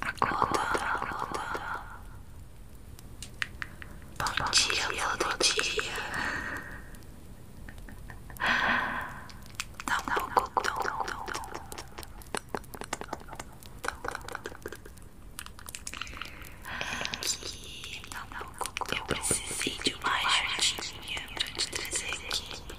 Acorda, acorda. Bom dia, bom dia. Dá tá um pouco, dá um pouco. É que, dá um pouco. Eu precisei de uma ajudinha pra te trazer aqui.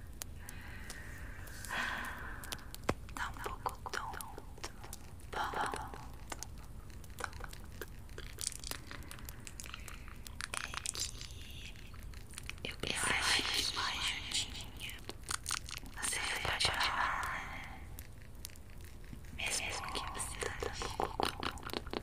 Tá um pouco tonto. É que eu preciso mais juntinha. Você vai chorar. Mesmo que você tá um pouco tonto.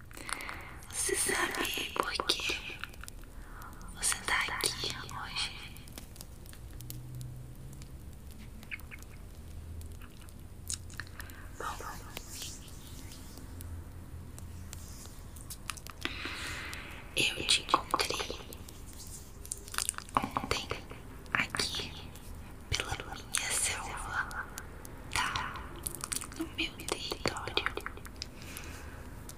Você sabe por que você tá aqui hoje? Bom, eu te encontrei ontem aqui pela minha selva, tá? No meu território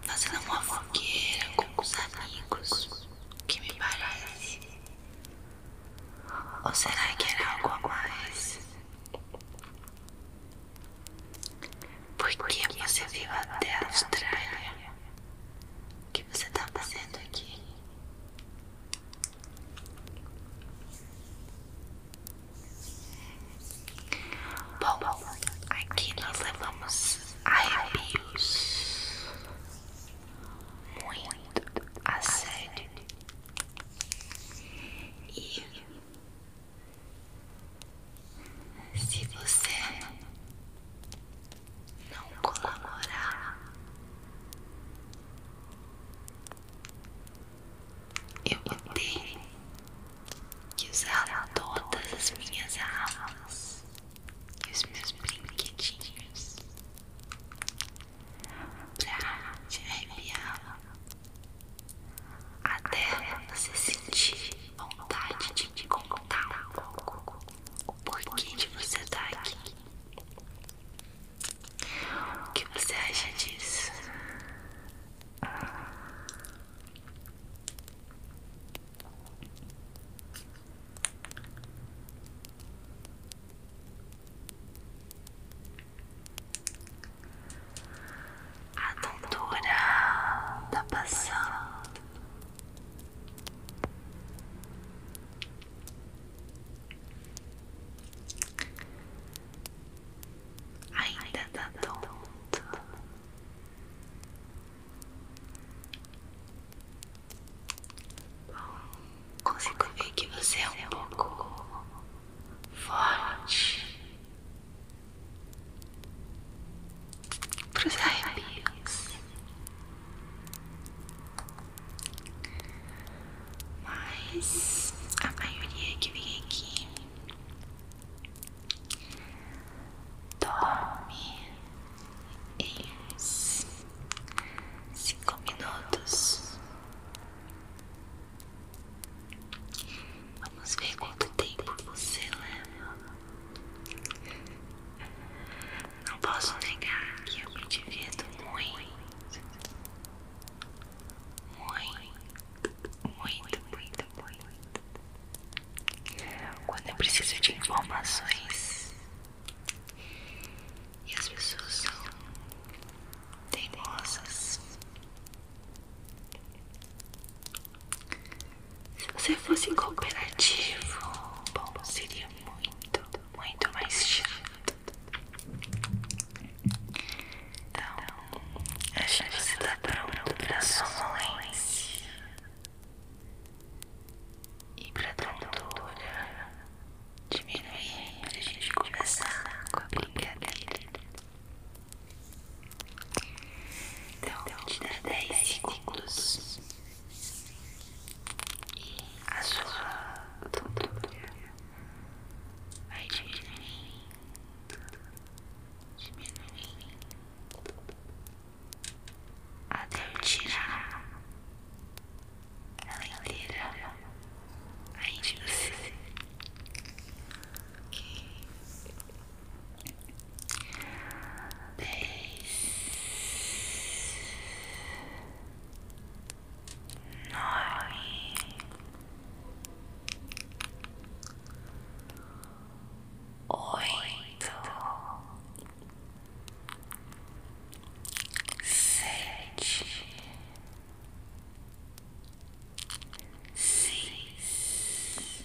fazendo uma fogueira com os amigos, que me parece. Ou será que era algo a mais? Por que você veio até a Austrália? O que você está fazendo aqui? Bom, aqui nós levamos arrepios muito a sério e se você não colaborar, eu vou que usava todas as minhas armas e os meus brinquedinhos pra te arrepiar até você sentir vontade de te contar um pouco o porquê de você estar tá aqui. O que você acha disso? A tontura tá passando. Ainda tá tonto. Bom, consigo ver que você é um pouco forte pros arrepios, mas a maioria que vem aqui Dorme em cinco minutos. Vamos ver quanto tempo você leva. Não posso negar que eu me divido muito. Muito. Muito, muito, muito. Quando eu preciso de informações e as pessoas são teimosas. Se você fosse cooperativo, bom, seria muito, muito mais chato. Então, a que você tá pronto pra sonolência e pra tontura diminuir a gente começar com a brincadeira. Então, te dar 10 segundos e a sua tontura vai diminuir diminuir até eu tirar ela inteira aí Dez, nove, oito, sete, seis,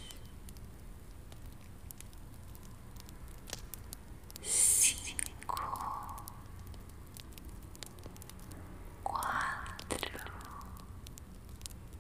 cinco, quatro.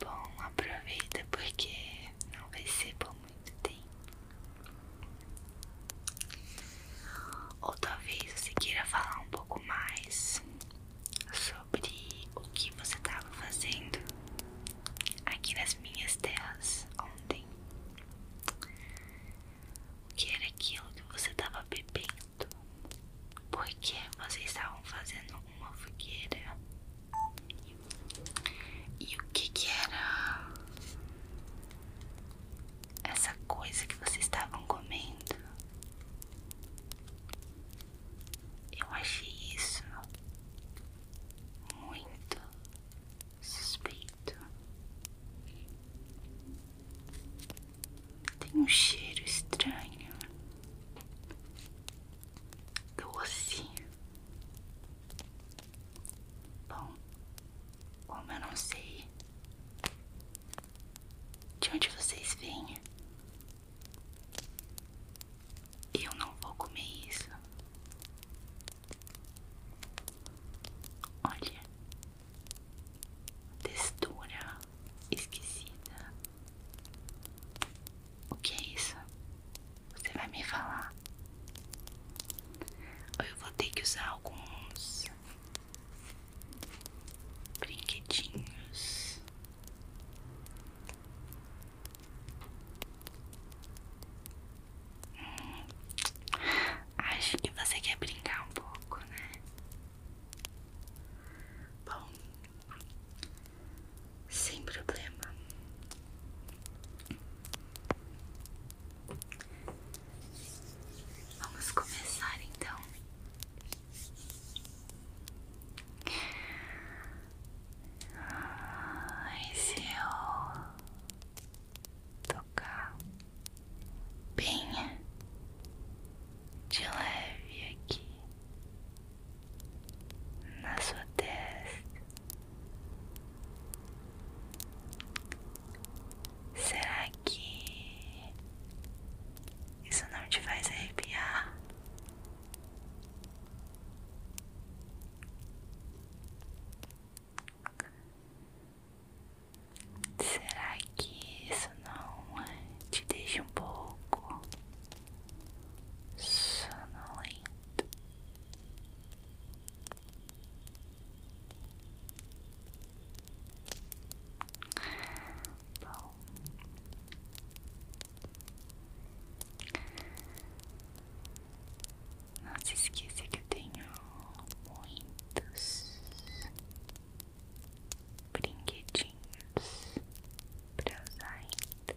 Bom, aproveita porque não vai ser por muito tempo. Ou talvez você queira falar um pouco mais sobre o que você estava fazendo aqui nas minhas terras ontem. O que era aquilo que você estava bebendo? muito. Porque vocês estavam fazendo uma fogueira. E o que era essa coisa que vocês estavam comendo? Eu achei isso muito suspeito. Tem um cheiro estranho, doce. Bom, como eu não sei de onde vocês vêm, eu não vou comer isso. Olha, textura esquecida. O que é isso? Você vai me falar? Ou eu vou ter que usar alguns brinquedinhos? Hum, acho que você quer brincar um pouco, né? Bom, sem problema. Vamos começar então. Ai, se eu tocar bem de leve aqui na sua testa. Será que isso não te faz arrepiar? Será que isso não te deixa um pouco sonolento. Bom, não se esqueça que eu tenho muitos brinquedinhos pra usar ainda.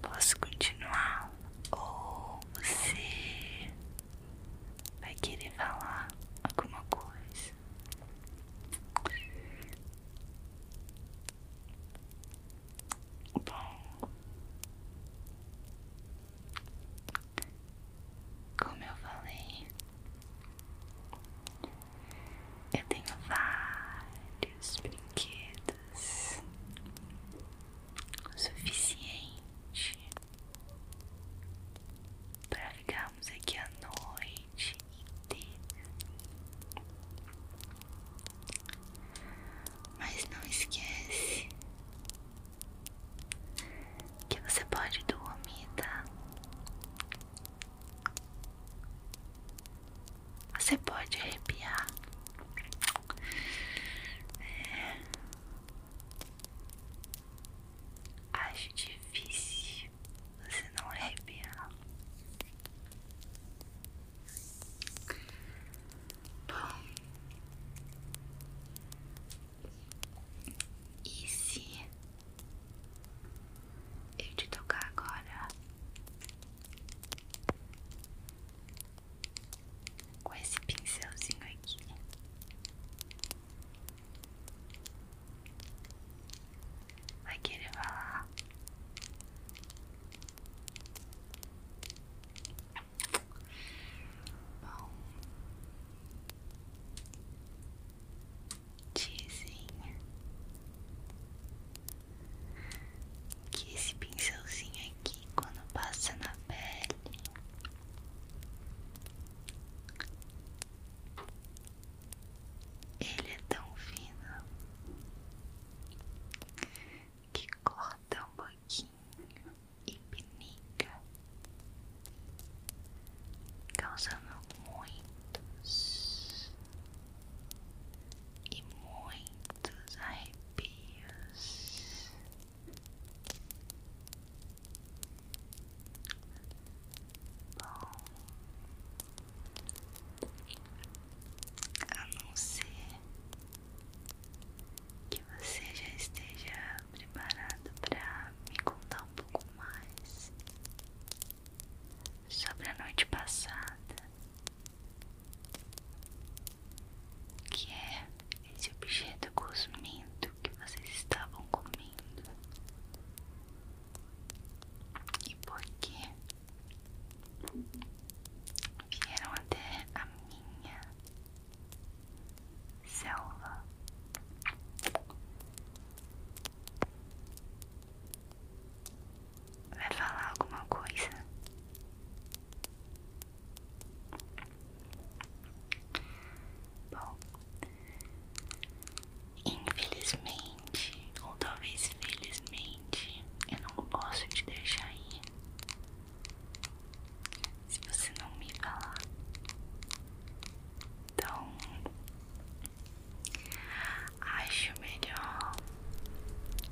Posso continuar? Ou você vai querer falar alguma coisa? Bom, como eu falei, eu tenho vários brinquedos o suficiente para ficarmos aqui a noite inteira. Mas não esquece que você pode dormir, tá? Você pode arrepiar. É. Acho difícil você não arrepiar. Bom, e se eu te tocar agora? com esse pincelzinho aqui. Vai querer falar? Bom, dizem que esse pincelzinho aqui quando passa na pele. Ele é tão fino que corta um pouquinho e pinica, causando muitos e muitos arrepios. Bom, a não ser que você já esteja preparado para me contar um pouco mais sobre a noite passada que é esse objeto gosmento que vocês estavam comendo. E por que vieram até a minha selva. Vai falar alguma coisa? Bom, infelizmente, ou talvez felizmente, eu não posso te deixar ir se você não me falar. Então, acho melhor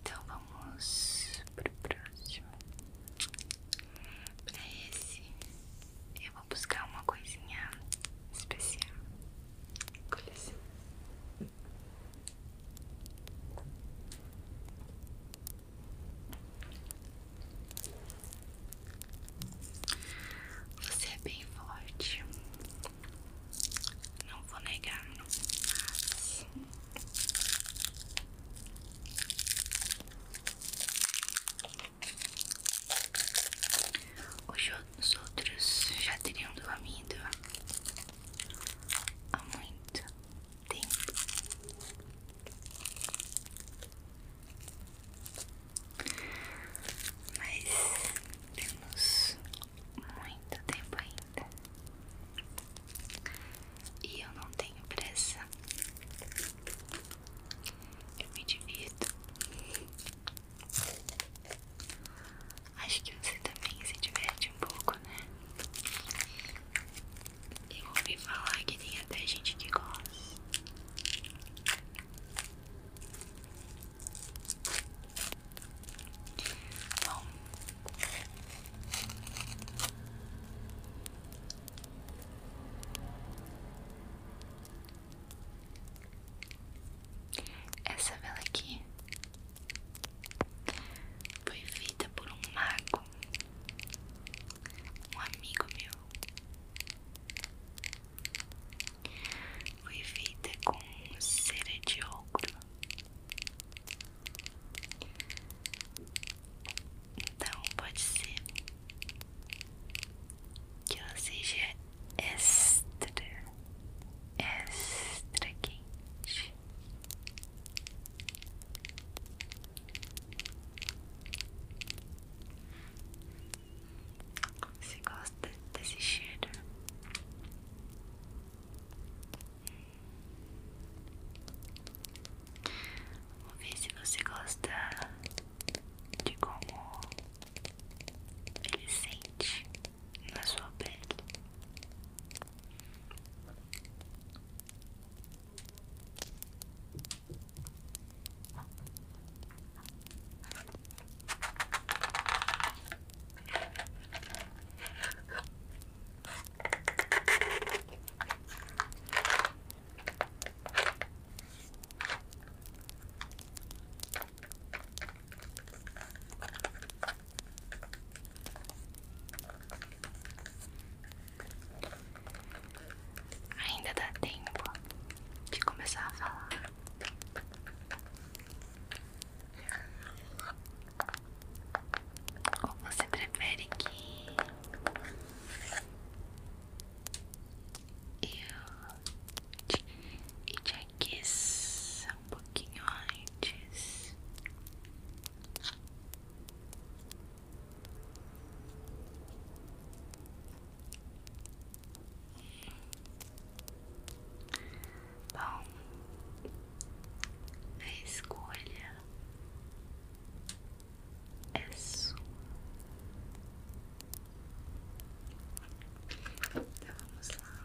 Então vamos pro próximo. Pra esse, eu vou buscar uma coisinha especial. Olha Você é bem forte. Não vou negar, Mas os outros já teriam dormido há muito tempo. Mas temos muito tempo ainda. E eu não tenho pressa. Eu me divido Acho que você também se diverte um pouco, né? Eu ouvi falar que tem até gente que gosta. Bom, essa vela aqui foi feita por um mago, um amigo meu. Foi feita com cera de ouro então pode ser que ela seja extra, extra quente. Você gosta desse cheiro? Vê se você gosta de como ele sente na sua pele. Ainda dá tempo de começar a falar. Como você prefere que eu te, eu te aqueça um pouquinho antes? Bom, a escolha é sua. Então vamos lá.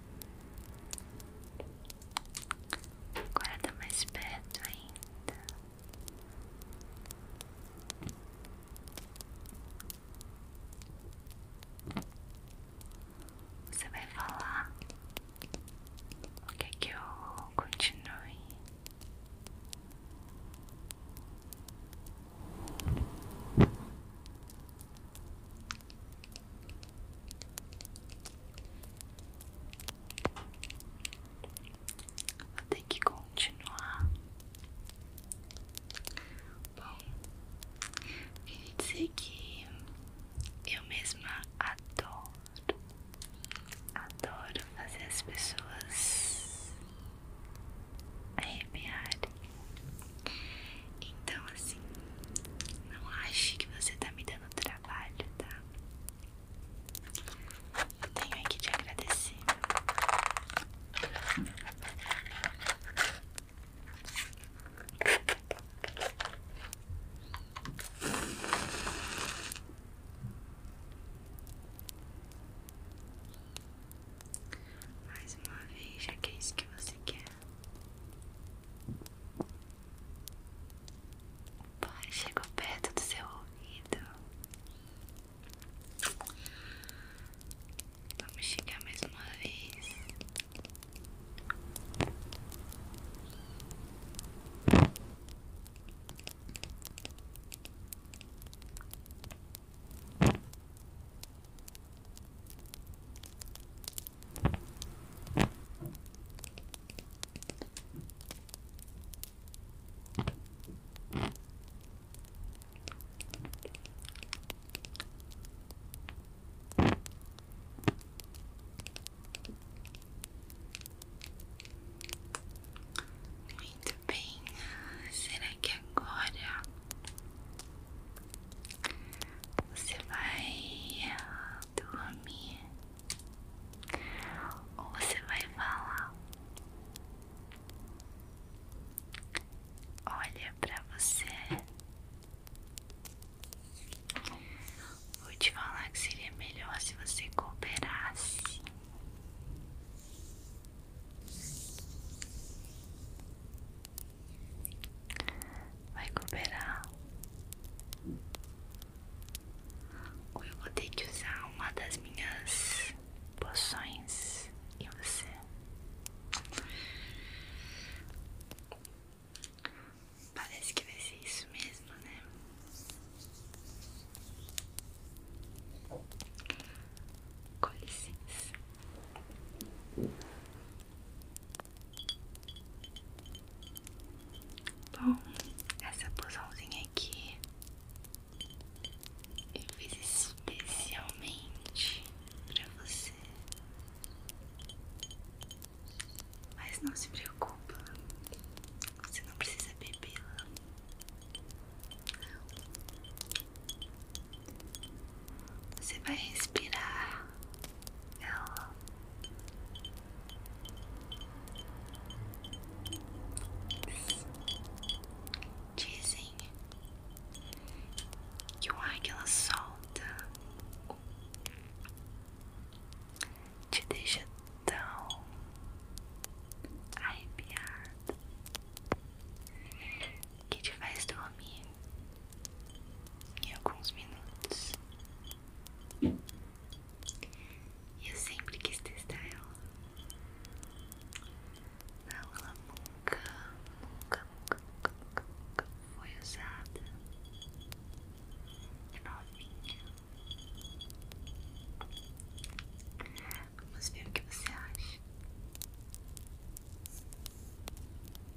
Agora tá mais perto ainda. Você vai falar o que é que eu continue? Vou ter que continuar. Bom, queria dizer que eu mesma adoro, adoro fazer as pessoas arrepiarem. Então, assim, não ache que você está me dando trabalho, tá? tenho aí que te agradecer. Mais uma vez, já que é isso que você quer. Vai, chegou perto do seu ouvido. Vamos chegar mais uma vez. Muito bem, será que agora você vai eh, dormir ou você vai falar? Olha pra você. Vou te falar que seria melhor se você cooperasse. Vai recuperar. Ou eu vou ter que usar uma das minhas poções e você. Parece que vai ser isso mesmo, né? Com licença. Bom, essa blusãozinha aqui eu fiz especialmente pra você. Mas não se preocupe, você não precisa bebê-la. Você vai respirar ela dizem que o ar que ela solta te deixa tão arrepiado que te faz dormir em alguns minutos. eu sempre quis testar ela. Não, ela nunca, nunca, nunca, nunca, nunca foi usada. É novinha. Vamos ver o que você acha.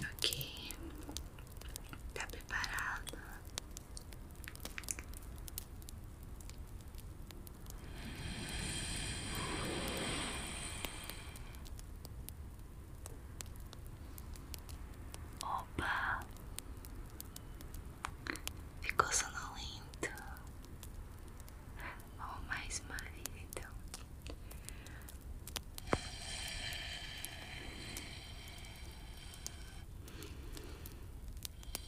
Ok, está preparado? Opa, ficou sonolento. Vamos mais uma vez então.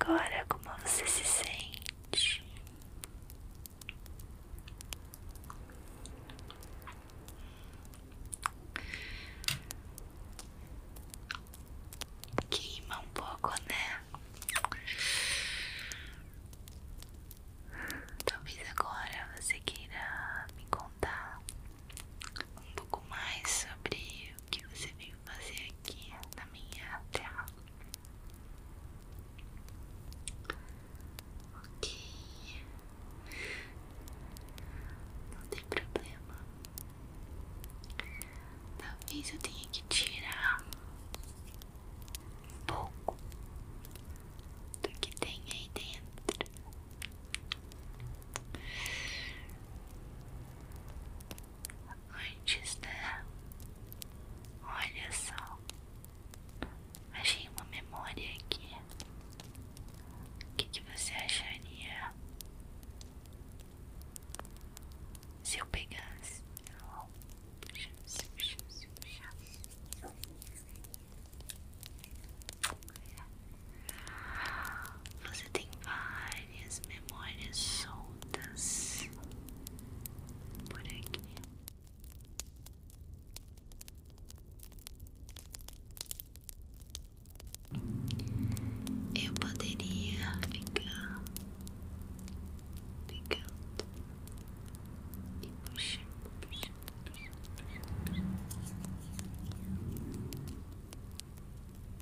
agora, como você se sente? Queima um pouco, né? Talvez agora você queira me contar um pouco mais sobre que você veio fazer aqui na minha terra. Ok, não tem problema. Talvez eu tenha que tirar um pouco do que tem aí dentro antes da, né? Olha só, achei uma memória aqui. O que, você acharia se eu pegasse? Você tem várias minhas memórias soltas por aqui. Eu poderia ficar pegando e puxando,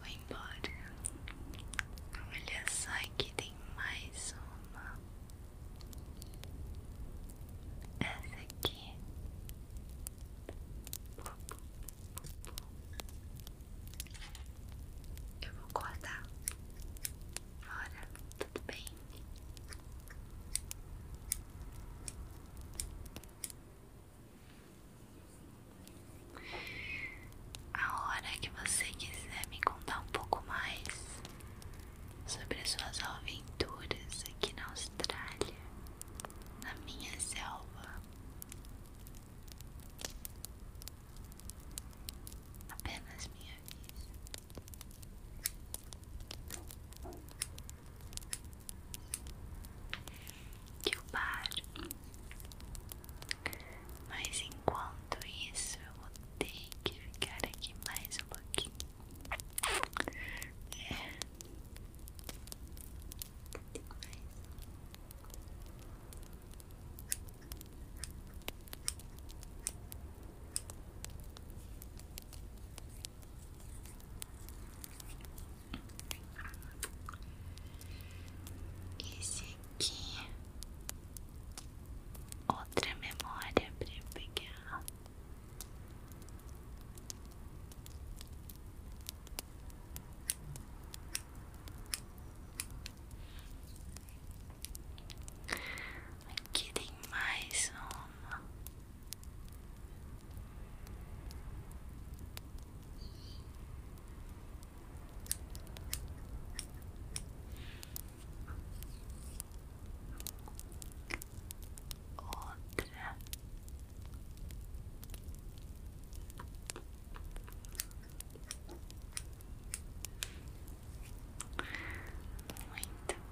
Vai embora. Olha só, aqui tem mais uma. Essa aqui. Eu vou cortar. Ora, tudo bem. A hora que você quiser me contar um pouco mais sobre suas aventuras aqui na Austrália, na minha selva. Apenas me avise. Que o mas enquanto isso, eu vou ter que ficar aqui mais um pouquinho. É. Esse aqui, outra memória para pegar. Aqui tem mais uma outra muito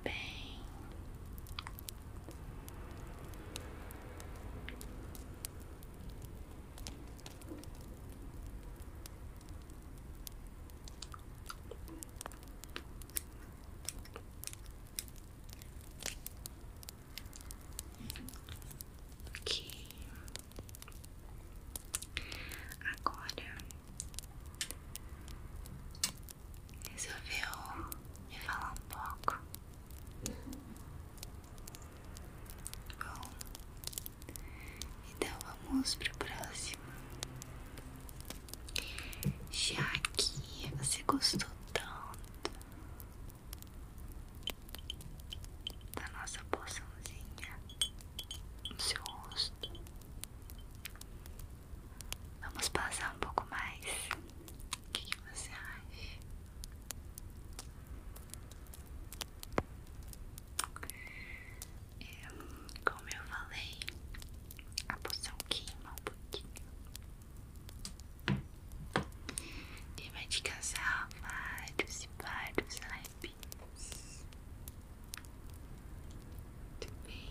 bem. Aqui. Agora resolveu me falar um pouco Bom, então vamos pro próximo. Já que você gostou tanto da nossa poçãozinha no seu rosto, vamos passar um pouco mais. O que, que você acha? É, como eu falei, a poção queima um pouquinho e vai te causar vários e vários lampinhos. Muito bem.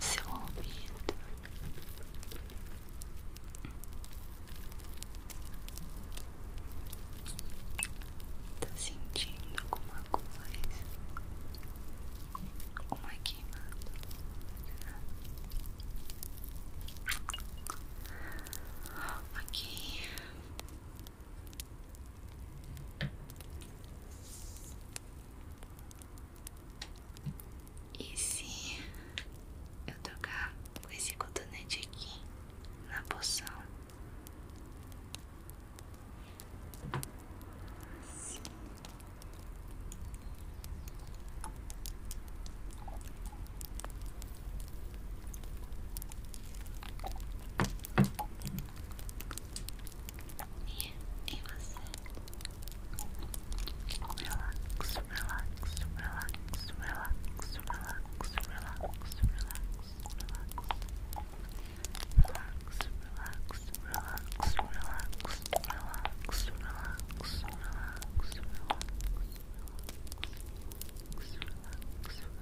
seu ouvido. Tá sentindo alguma coisa? Uma queimada? Aqui e se eu tocar com esse cotonete aqui na poção? it was it. Relax, relax, relax, relax, relax, relax, relax. Relax, relax, relax, relax, relax, relax, relax, relax, relax, relax, relax,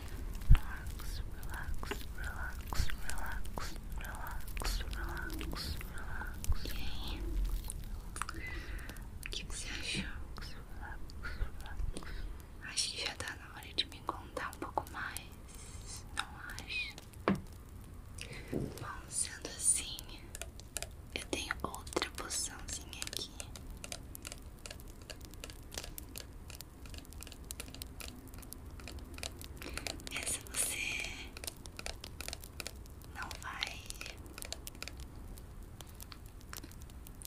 relax, relax, relax, relax, relax, relax, relax. E aí? O que você achou? Relax, relax. Acho que já tá na hora de me contar um pouco mais, não acho? Bom, sendo assim, eu tenho outra poçãozinha aqui. Essa você não vai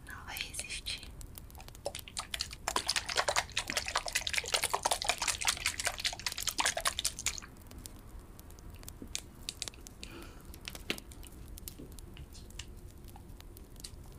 não vai resistir.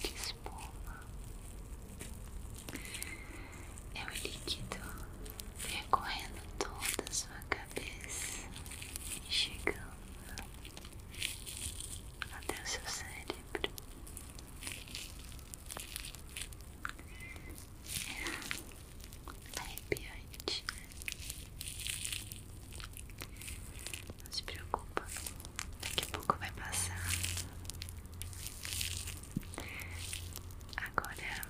de espuma é o líquido recorrendo toda a sua cabeça e chegando até o seu cérebro. É Arrepiante, né? Não se preocupa Daqui pouco vai passar. Agora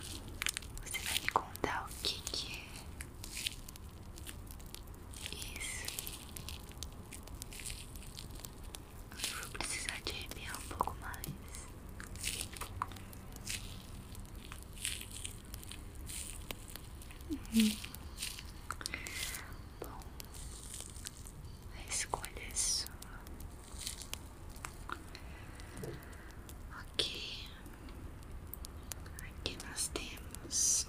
você vai me contar o que, é isso. vou precisar de arrepiar um pouco mais. Hum. Bom, a escolha é sua. Ok. Aqui nós temos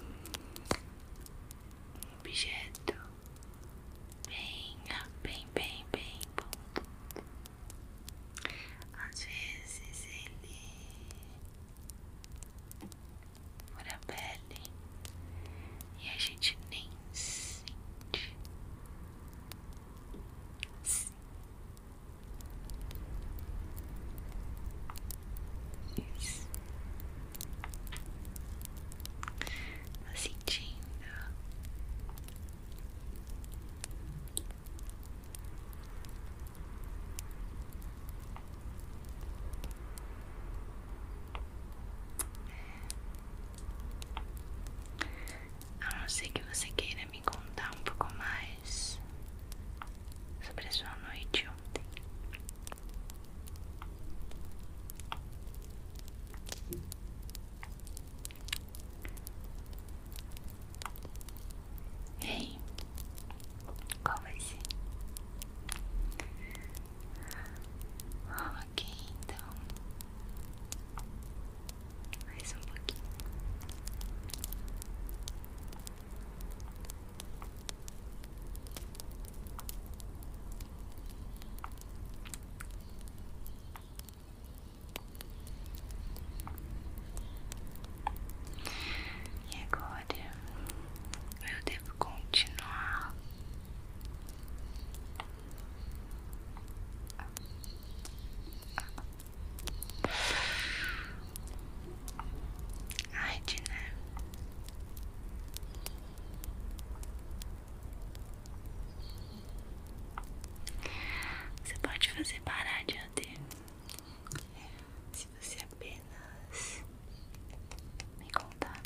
um objeto bem, bem, bem, bem bom. Às vezes ele por a pele e a gente nem sente. Tá sentindo? A não ser que você queira me contar um pouco mais sobre a sua noite ontem. E aí, qual vai ser? Ok, então mais um pouquinho. E agora eu devo continuar Arde, né? Você pode fazer parar de arder se você apenas me contar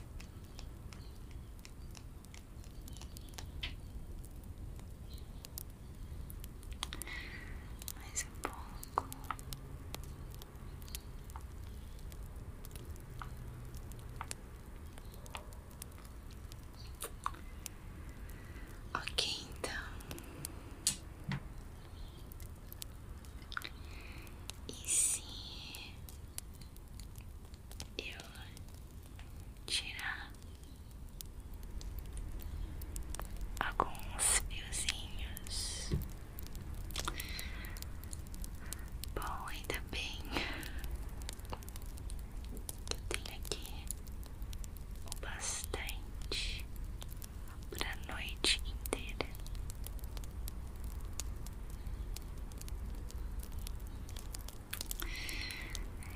mais um pouco. Ok, então e se eu tirar alguns fiozinhos? Bom, ainda bem que eu tenho aqui o bastante para a noite inteira.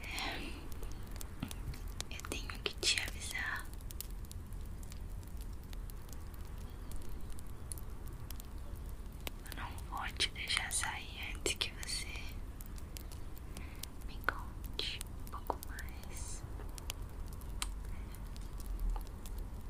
É, eu tenho que te avisar. Eu não vou te deixar sair antes que você me conte um pouco mais.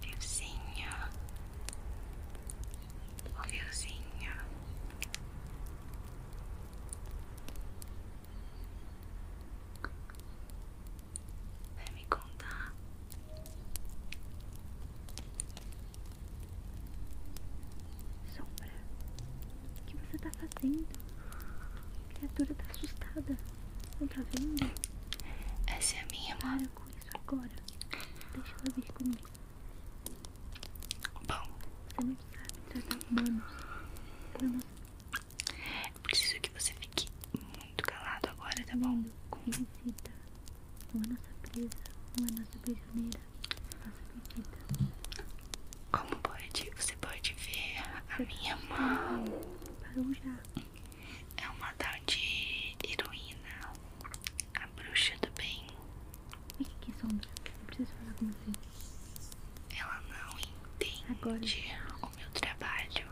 Fiozinho, o fiozinho. Vai me contar Sombra, o que você tá fazendo? A criatura tá assustada. Não tá vendo? Essa é a minha mão. Para com isso agora. Deixa ela vir comigo. Bom. Você não sabe tratar humanos. Ela não... Eu preciso que você fique muito calado agora, tá bom? Com Convencida. Não nossa presa, não nossa prisioneira, nossa bendita. Como pode, você pode ver, a minha mão parou já. É uma tal de heroína, a bruxa do bem. Fique aqui, é sombra, eu preciso falar com você. Ela não entende o meu trabalho.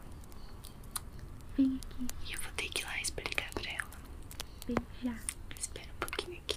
Vem aqui. E eu vou ter que ir lá explicar pra ela beijar. Espera um pouquinho aqui.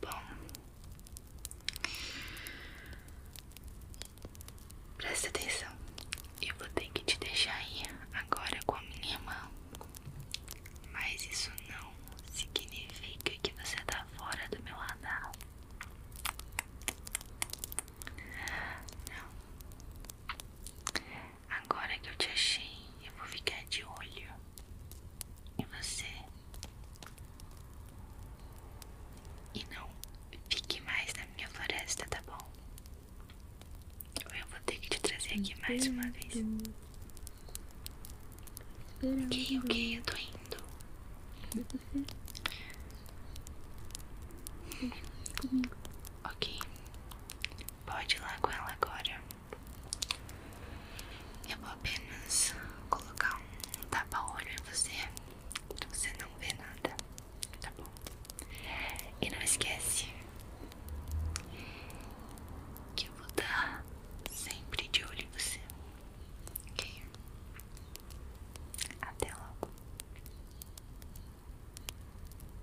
Bom, presta atenção, eu vou ter que te deixar ir agora com a minha mão, mas isso não significa que você está fora do meu radar. Não. Agora que eu te achei, eu vou ficar de olho. em você? E não fique mais na minha floresta, tá bom? Eu vou ter que te trazer aqui mais uma vez. o que eu tô indo. Ok, Pode ir lá com ela agora. Eu vou apenas colocar um tapa-olho em você, pra você não ver nada, tá bom? E não esquece que eu vou estar sempre de olho em você, ok? Até logo.